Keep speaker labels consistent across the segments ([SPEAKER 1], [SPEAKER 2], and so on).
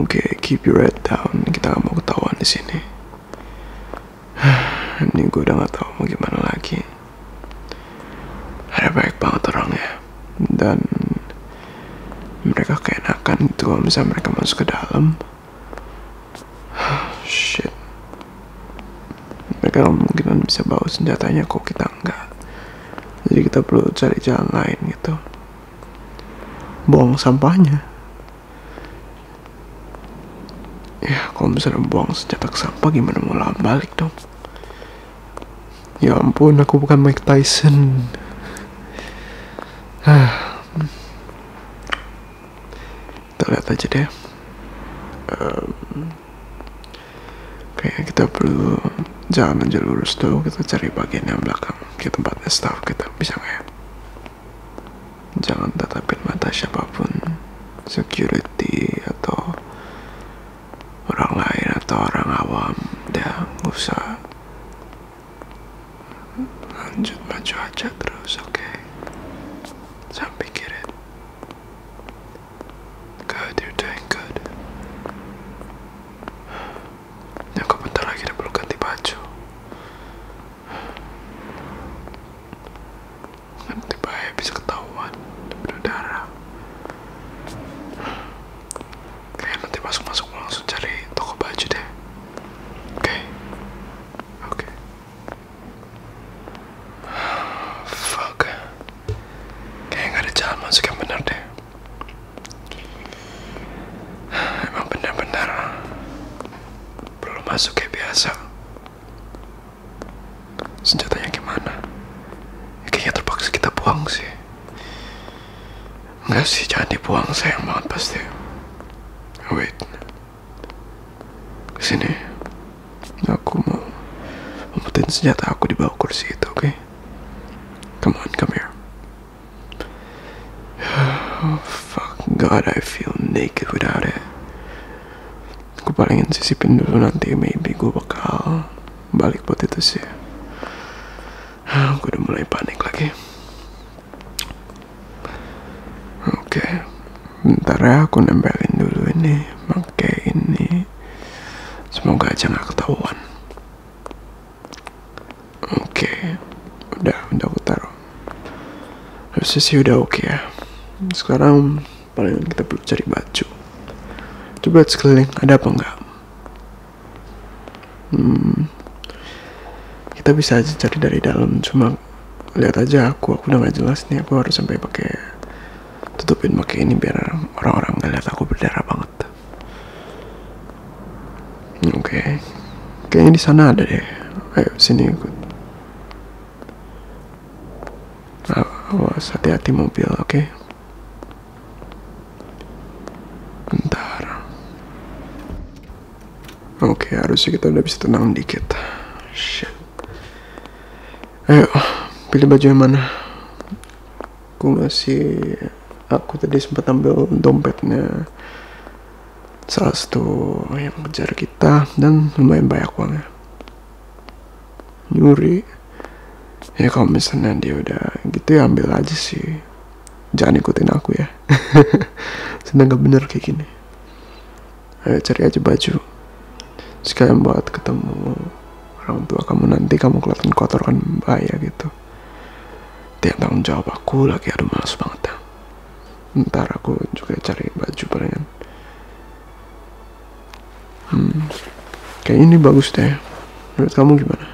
[SPEAKER 1] Oke, keep your head down. Kita gak mau ketahuan di sini. Ini gue udah gak tahu mau gimana lagi. Ada baik banget orang ya, Dan mereka keenakan gitu kalau misalnya mereka masuk ke dalam. Shit. Mereka kemungkinan bisa bawa senjatanya kok kita enggak. Jadi kita perlu cari jalan lain gitu. Buang sampahnya. Ya, kalau misalnya buang senjata ke sampah gimana mau lawan balik dong? Ya ampun, aku bukan Mike Tyson. Ah kita lihat aja deh um, kayaknya kita perlu jalan aja lurus tuh kita cari bagian yang belakang Di tempatnya staff kita bisa nggak ya jangan tatapin mata siapapun security atau orang lain atau orang awam ya nggak usah lanjut maju aja terus oke Sampai jangan pikirin good you're doing good ya kok bentar lagi udah perlu ganti baju nanti bahaya bisa ketahuan berdarah kayak nanti masuk-masuk langsung cari toko baju deh Okay. Okay. Fuck. Kayaknya nggak ada jalan masuk yang benar deh. Emang benar-benar belum masuk kayak biasa. Senjatanya gimana? Ya, kayaknya terpaksa kita buang sih. Enggak sih, jangan dibuang. Sayang banget pasti. Wait. Kesini. Aku mau umpetin senjata aku di bawah kursi itu, oke? Okay? Come on, come here. Oh, fuck God, I feel naked without it. Gue palingin sisipin dulu nanti, maybe gue bakal balik buat itu sih. Aku udah mulai panik lagi oke okay. bentar ya aku nempelin dulu ini pakai ini semoga aja nggak ketahuan oke okay. udah udah aku taruh harusnya sih udah oke okay ya sekarang paling kita perlu cari baju coba sekeliling ada apa enggak hmm, kita bisa aja cari dari dalam cuma lihat aja aku aku udah gak jelas nih aku harus sampai pakai tutupin pakai ini biar orang-orang nggak lihat aku berdarah banget oke okay. kayaknya di sana ada deh ayo sini ikut awas hati-hati mobil oke okay? Bentar. Oke, harusnya kita udah bisa tenang dikit. Shit. Ayo, pilih baju yang mana? Aku masih... Aku tadi sempat ambil dompetnya salah satu yang kejar kita dan lumayan banyak uangnya nyuri ya kalau misalnya dia udah gitu ya ambil aja sih jangan ikutin aku ya seneng gak bener kayak gini ayo cari aja baju sekalian buat ketemu orang tua kamu nanti kamu kelihatan kotor kan bahaya gitu tiap tanggung jawab aku lagi aduh malas banget ya. ntar aku juga cari baju palingan hmm. kayak ini bagus deh menurut kamu gimana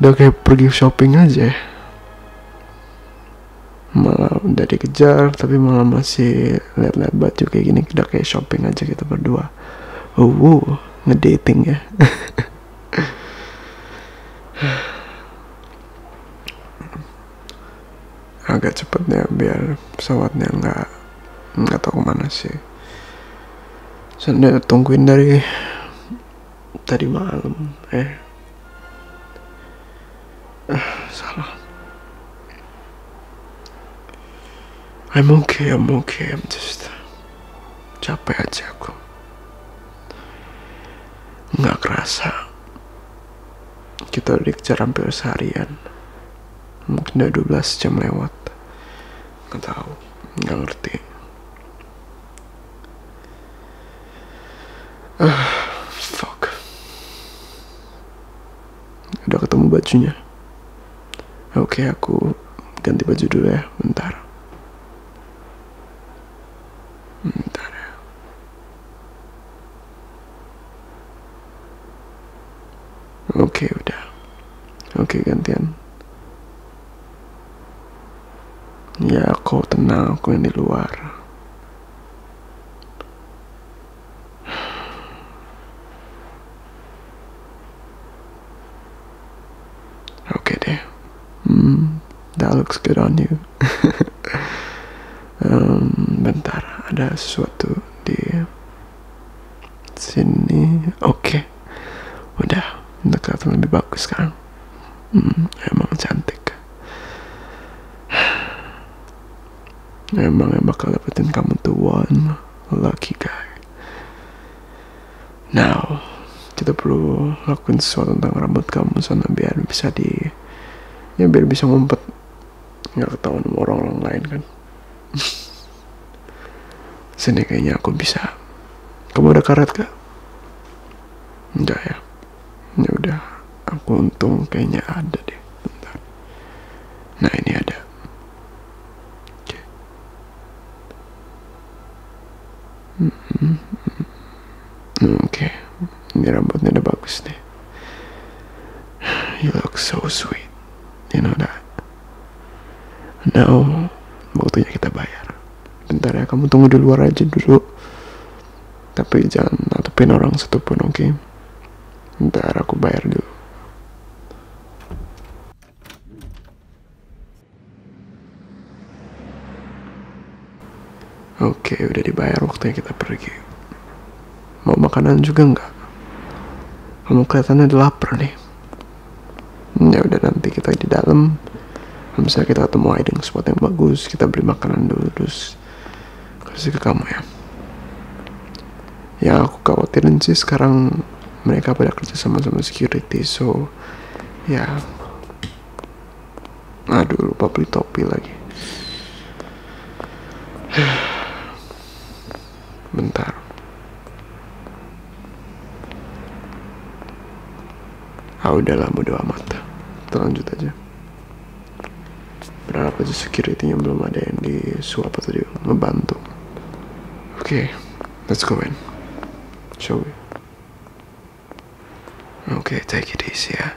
[SPEAKER 1] udah kayak pergi shopping aja ya. malah udah dikejar tapi malah masih lihat-lihat baju kayak gini udah kayak shopping aja kita gitu berdua oh wow, ngedating ya agak cepetnya biar pesawatnya nggak nggak tahu kemana sih saya tungguin dari tadi malam eh ah, salah I'm okay I'm okay I'm just capek aja aku nggak kerasa kita dikejar hampir seharian mungkin udah 12 jam lewat nggak ngerti uh, fuck udah ketemu bajunya oke okay, aku ganti baju dulu ya bentar bentar ya Oke, udah. Oke, gantian. Ya, kau tenang, aku yang di luar. Oke deh. Hmm, that looks good on you. Hmm, bentar, ada sesuatu di sini oke okay. udah kelihatan lebih bagus kan hmm, emang cantik emang yang bakal dapetin kamu tuan one lucky guy now kita perlu lakuin sesuatu tentang rambut kamu sana biar bisa di ya biar bisa ngumpet nggak ketahuan sama orang orang lain kan sini kayaknya aku bisa kamu ada karet gak enggak ya ya udah aku untung kayaknya ada deh bentar nah ini ada oke okay. -hmm. okay. ini rambutnya udah bagus deh. You look so sweet. You know that. Now, waktunya kita bayar. Bentar ya, kamu tunggu di luar aja dulu. Tapi jangan natepin orang satupun, oke? Okay? Bentar, aku bayar dulu. Oke, okay, udah dibayar waktunya kita pergi. Mau makanan juga nggak? Kamu kelihatannya udah lapar nih. Ya udah nanti kita di dalam. Misalnya kita ketemu hiding spot yang bagus, kita beli makanan dulu terus kasih ke kamu ya. Ya aku khawatirin sih sekarang mereka pada kerja sama sama security, so ya. Aduh lupa beli topi lagi. bentar ah udahlah bodo amat kita lanjut aja berharap aja security-nya belum ada yang di suap atau di membantu. oke okay, let's go in shall Oke, okay take it easy ya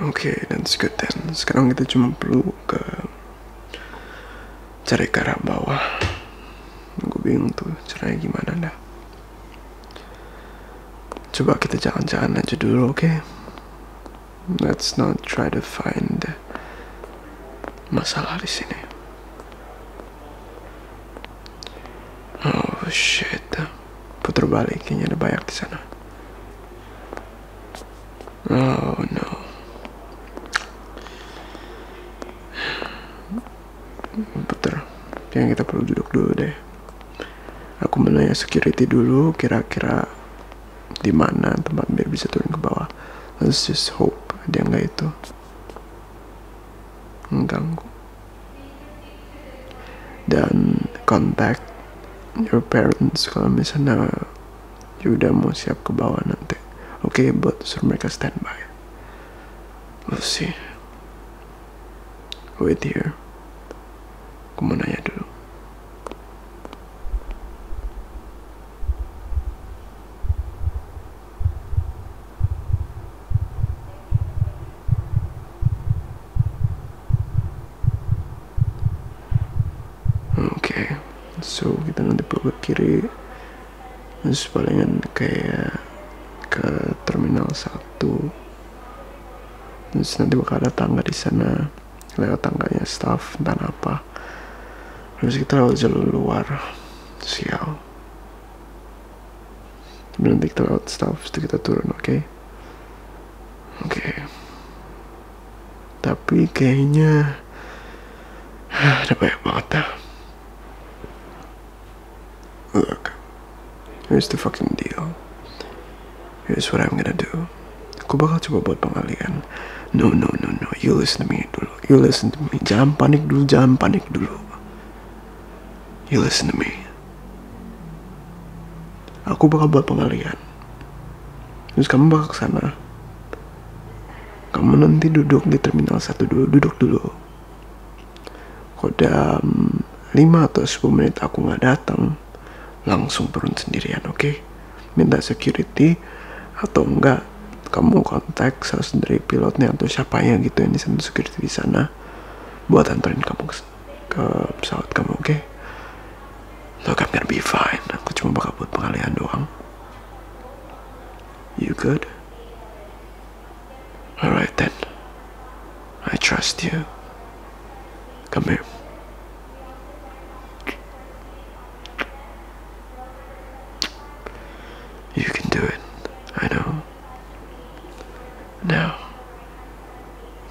[SPEAKER 1] Oke, okay, that's good then. Sekarang kita cuma perlu ke cari ke arah bawah. Gue bingung tuh caranya gimana dah. Coba kita jalan-jalan aja dulu, oke? Okay? Let's not try to find masalah di sini. Oh shit putar balik kayaknya ada banyak di sana oh no putar yang kita perlu duduk dulu deh aku menanya security dulu kira-kira di mana tempat biar bisa turun ke bawah let's just hope dia nggak itu mengganggu dan contact your parents kalau misalnya you udah mau siap ke bawah nanti oke okay, buat suruh mereka standby let's see wait here aku mau nanya dulu Oke, so kita nanti belok ke kiri, terus palingan kayak ke terminal satu. terus nanti bakal ada tangga di sana lewat tangganya staff dan apa terus kita lewat jalur luar sial Kemudian take out staff, kita turun, oke? Okay? Oke. Okay. Tapi kayaknya ada banyak banget dah. Look, here's the fucking deal. Here's what I'm gonna do. Aku bakal coba buat pengalian. No, no, no, no. You listen to me dulu. You listen to me. Jangan panik dulu, jangan panik dulu. You listen to me aku bakal buat pengalian terus kamu bakal ke sana kamu nanti duduk di terminal satu dulu duduk dulu kodam 5 atau 10 menit aku nggak datang langsung turun sendirian oke okay? minta security atau enggak kamu kontak salah dari pilotnya atau siapanya gitu yang di security di sana buat anterin kamu ke ke pesawat kamu, oke? Okay? Look, I'm gonna be fine. Aku cuma bakal buat pengalihan doang. You good? Alright then. I trust you. Come here. You can do it. I know. Now,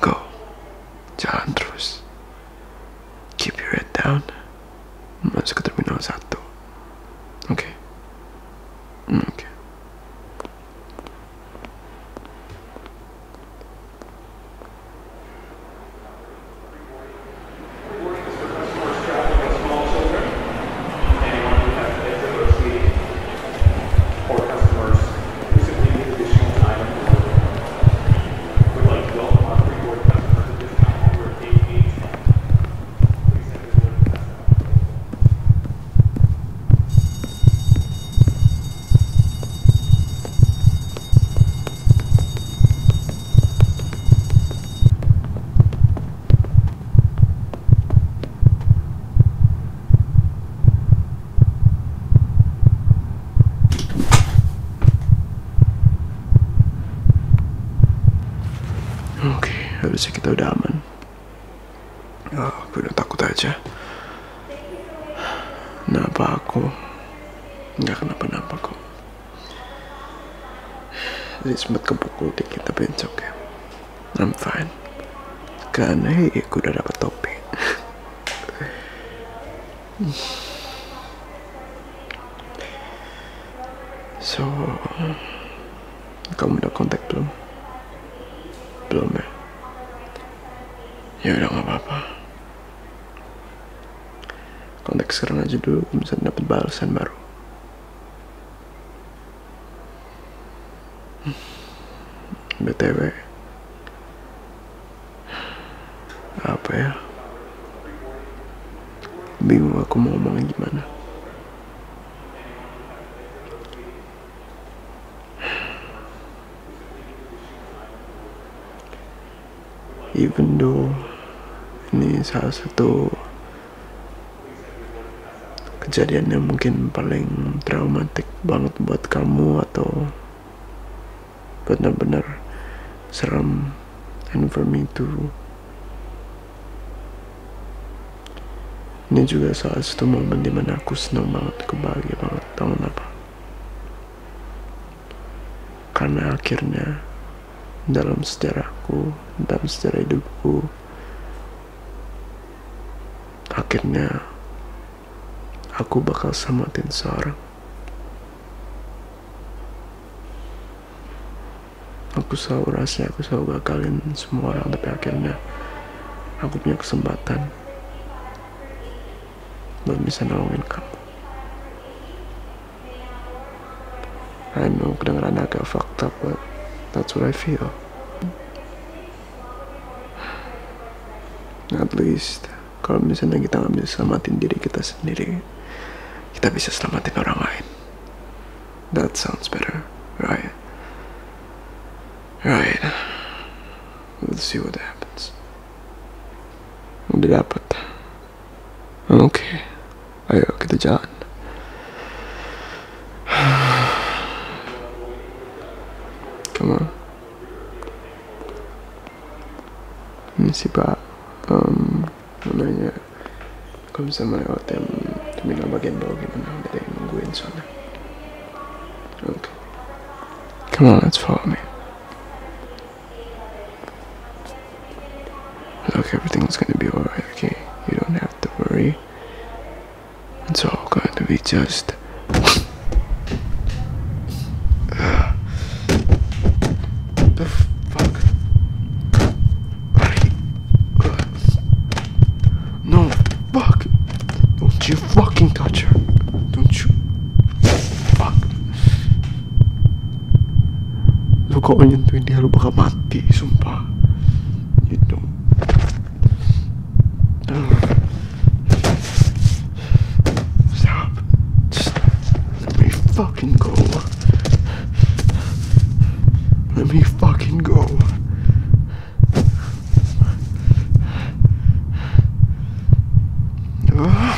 [SPEAKER 1] go, Jalandros. Keep your head down. No sé qué terminó exacto. Okay. Mm, okay for customers who simply need additional time and work. Would like to welcome our reward customers at this time over at Dave Gates. Please send this word to customer. Oke, harusnya kita udah aman. Oh, aku udah takut aja. Kenapa aku? Gak kenapa-napa kok. Jadi sempat kepukul dikit tapi encok ya. I'm fine. Kan, hei, aku udah dapat topi. so, kamu udah kontak belum? Belum ya? Ya udah nggak apa-apa. Kontak sekarang aja dulu, bisa dapat balasan baru. BTW Apa ya Bingung aku mau ngomongin gimana Even though Ini salah satu kejadian yang mungkin paling traumatik banget buat kamu atau benar-benar seram and for me too ini juga salah satu momen dimana aku seneng banget aku bahagia banget tau apa karena akhirnya dalam sejarahku dalam sejarah hidupku Akhirnya, aku bakal samatin seorang. Aku selalu rasa aku selalu gagalin semua orang, tapi akhirnya aku punya kesempatan buat bisa nolongin kamu. I know kedengeran agak fucked up, but that's what I feel. At least, kalau misalnya kita nggak bisa selamatin diri kita sendiri, kita bisa selamatin orang lain. That sounds better, right? Right. Let's see what happens. Udah dapet. Okay. ayo kita jalan come on ini sih pak um, nanya kalau bisa melewati terminal bagian bawah gimana ada yang nungguin sana oke okay. come on let's follow me Look, everything's gonna be alright, okay? You don't have to worry. It's all going to be just. the fuck? No, fuck! Don't you fucking touch her! Don't you. Fuck! lu kalau nyentuhin dia lu bakal mati sumpah gitu stop let me fucking go let me fucking go ah.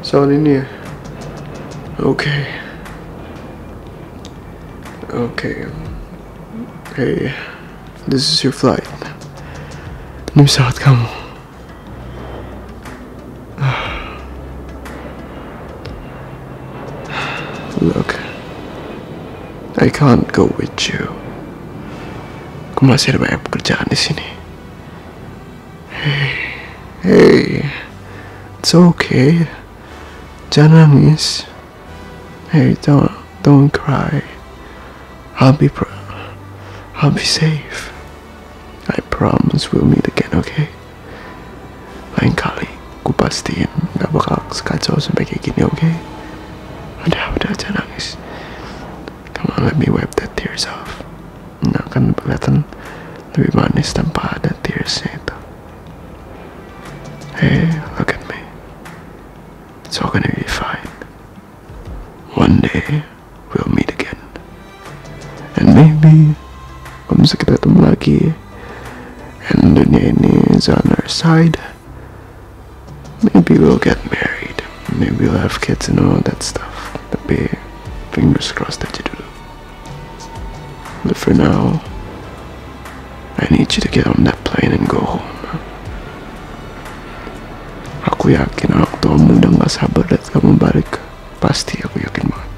[SPEAKER 1] It's all in here. Okay. Okay. Hey, this is your flight. نمشي ساعة كامو Look, I can't go with you. Aku masih ada banyak pekerjaan di sini. Hey, hey, it's okay. Jangan nangis. Hey, don't, don't cry. I'll be, I'll be safe. I promise we'll meet again, okay? Lain kali, ku pastiin gak bakal sekacau sampai kayak gini, Okay? Come on, let me wipe the tears off Nah kan kelihatan lebih manis tanpa ada tearsnya itu Hey, look at me It's all gonna be fine One day we'll meet again And maybe Kalau bisa kita ketemu lagi And the ini is on our side Maybe we'll get married. Maybe we'll have kids and all that stuff. The big fingers crossed that you do. But for now, I need you to get on that plane and go home. Aku yakin aku kamu udah gak sabar lihat kamu balik. Pasti aku yakin banget.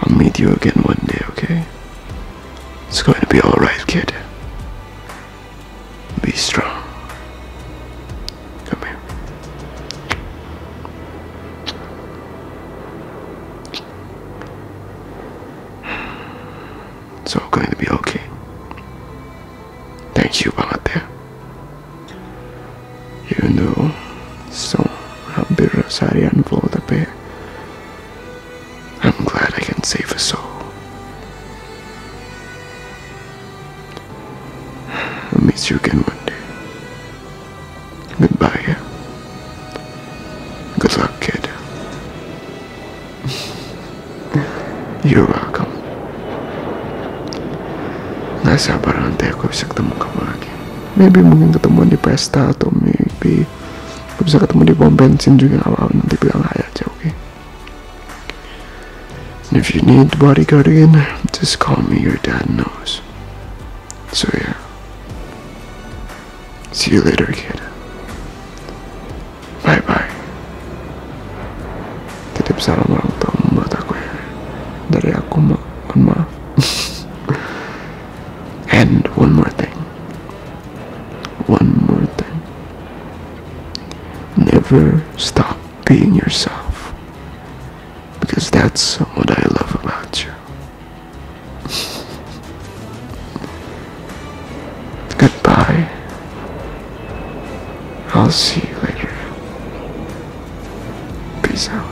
[SPEAKER 1] I'll meet you again one day, okay? It's going to be alright, kid. Be strong. Come here. It's all going to be okay. Thank you, Balate. You know, so Rabbi Rosarian for the pair. I'm glad I can save a soul. I'll meet you again one day. Goodbye. Good luck, kid. You're welcome. Nasa barangay ako isang ketemu kamu lagi. Maybe mungkin ketemu di pesta atau maybe kita bisa ketemu di pom bensin juga apa nanti bilang hai aja oke okay? And if you need bodyguard again just call me your dad knows so yeah see you later kid bye bye titip salam orang tua menurut aku ya. dari aku mohon maaf And one more thing. One more thing. Never stop being yourself. Because that's what I love about you. Goodbye. I'll see you later. Peace out.